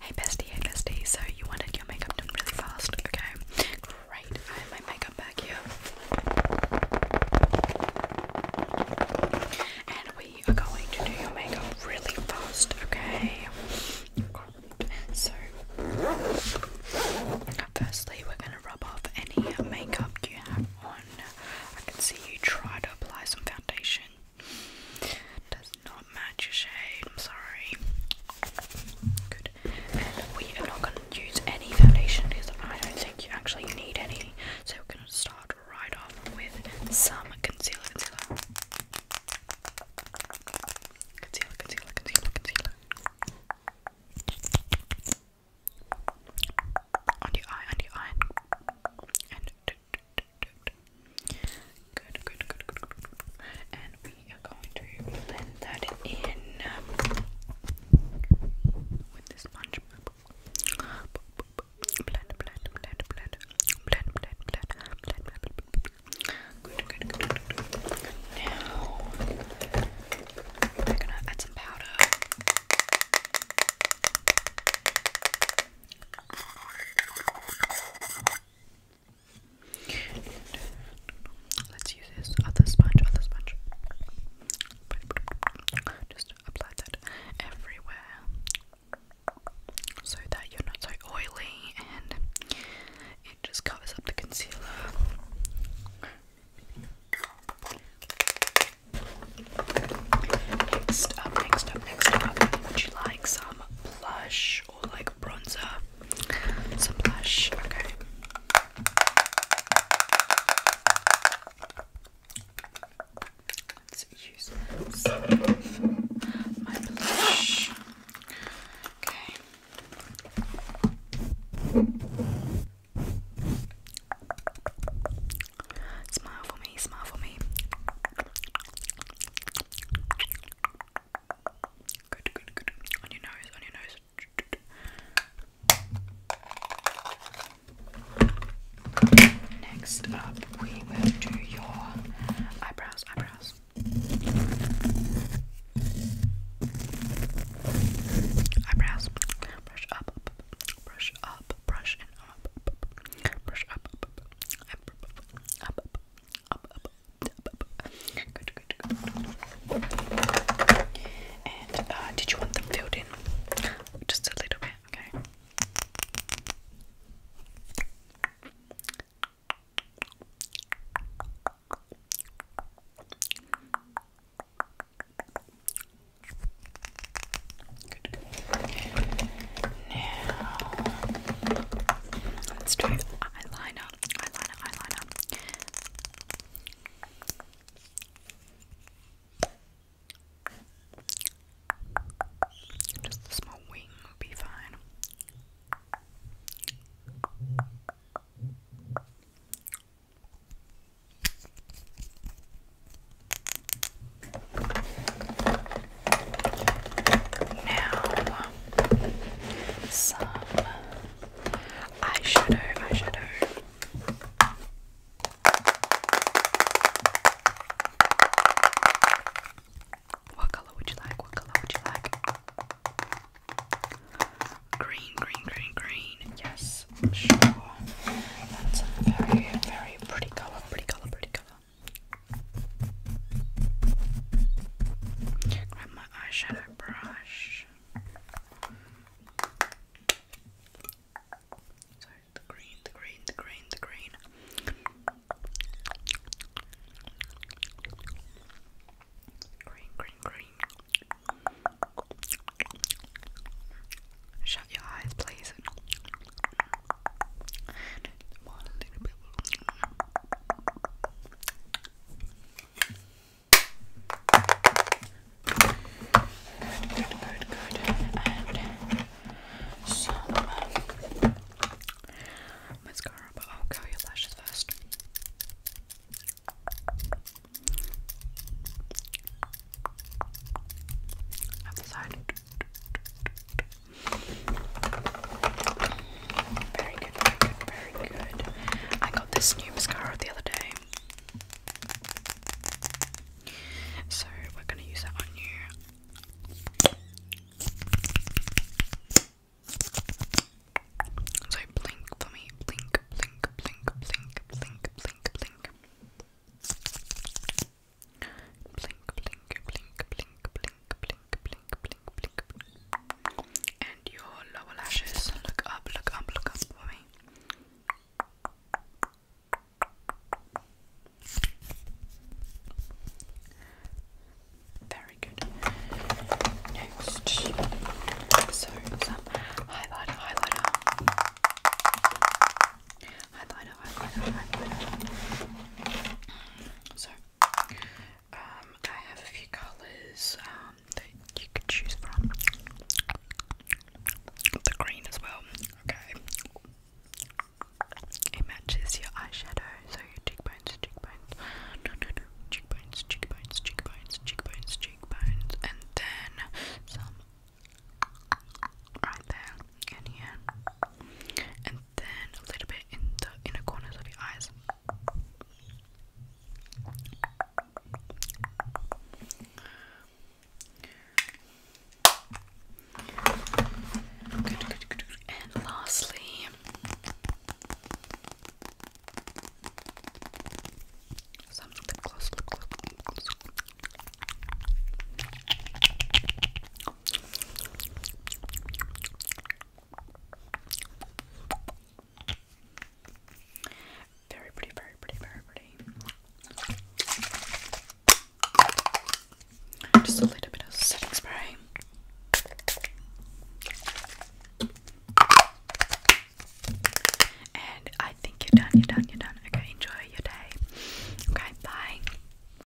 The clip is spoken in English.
Hey bestie, hey bestie, so you wanted your makeup done really fast, okay? Great, I have my makeup back here. And we are going to do your makeup really fast, okay? So, firstly, we're going to rub off any makeup you have on. I can see you try to apply some foundation. Does not match your shade, I'm sorry. Good. we are not going to use any foundation because I don't think you actually need any. So we're going to start right off with some concealer, concealer. Concealer, concealer, concealer, On your eye, on your eye. Good, good, good, good, And we are going to blend that in with the sponge. Blend, blend, blend, blend, blend, blend, blend, blend, blend. Good, good, good, good. Now we're gonna add some powder let's use this other sponge, other sponge. Just apply that everywhere so that you're not so oily and it just covers up the concealer. Next up, next up, next up, would you like some blush or like bronzer. Some blush, okay. Let's use some of my blush. Okay. Smile for me, smile for me. Good, good, good. On your nose, on your nose. Next up, we will do your eyebrows, eyebrows. Eyebrows. Brush up, brush up, brush up, brush up, up, up, up, up, up, up, up and uh, did you want them filled in? Just a little bit, okay. Now, let's do eyeliner, eyeliner, eyeliner. Just a small wing will be fine. Now, some eyeshadow, eyeshadow. What color would you like? What color would you like? Green, green, green, green. Yes, sure. That's a very, very pretty color, pretty color, pretty color. Grab my eyeshadow brush. So the green, the green, the green, the green. Green, green, green. Shut your eyes, please. One little bit. Good, good, good. And some mascara, but curl your lashes first. Other side. Very good, very good, very good. I got this new mascara the other day. So we're gonna use that on you. So blink for me, blink, blink, blink, blink, blink, blink, blink. Blink, blink, blink, blink, blink, blink, blink, blink, blink. And your lower lashes. Look up, look up, look up for me. Very good. Next, so some highlighter, highlighter, highlighter, highlighter, so, um, I have a few colours um, that you could choose from. The green as well. Okay. It matches your eyeshadow, so your cheekbones, cheekbones, no, no, no, cheekbones, cheekbones, cheekbones, cheekbones, cheekbones, and then some right there and here and then a little bit in the inner corners of your eyes. And lastly, very pretty, very pretty, very pretty. Just a little bit of setting spray. And I think you're done, you're done, you're done. Okay, enjoy your day. Okay, bye.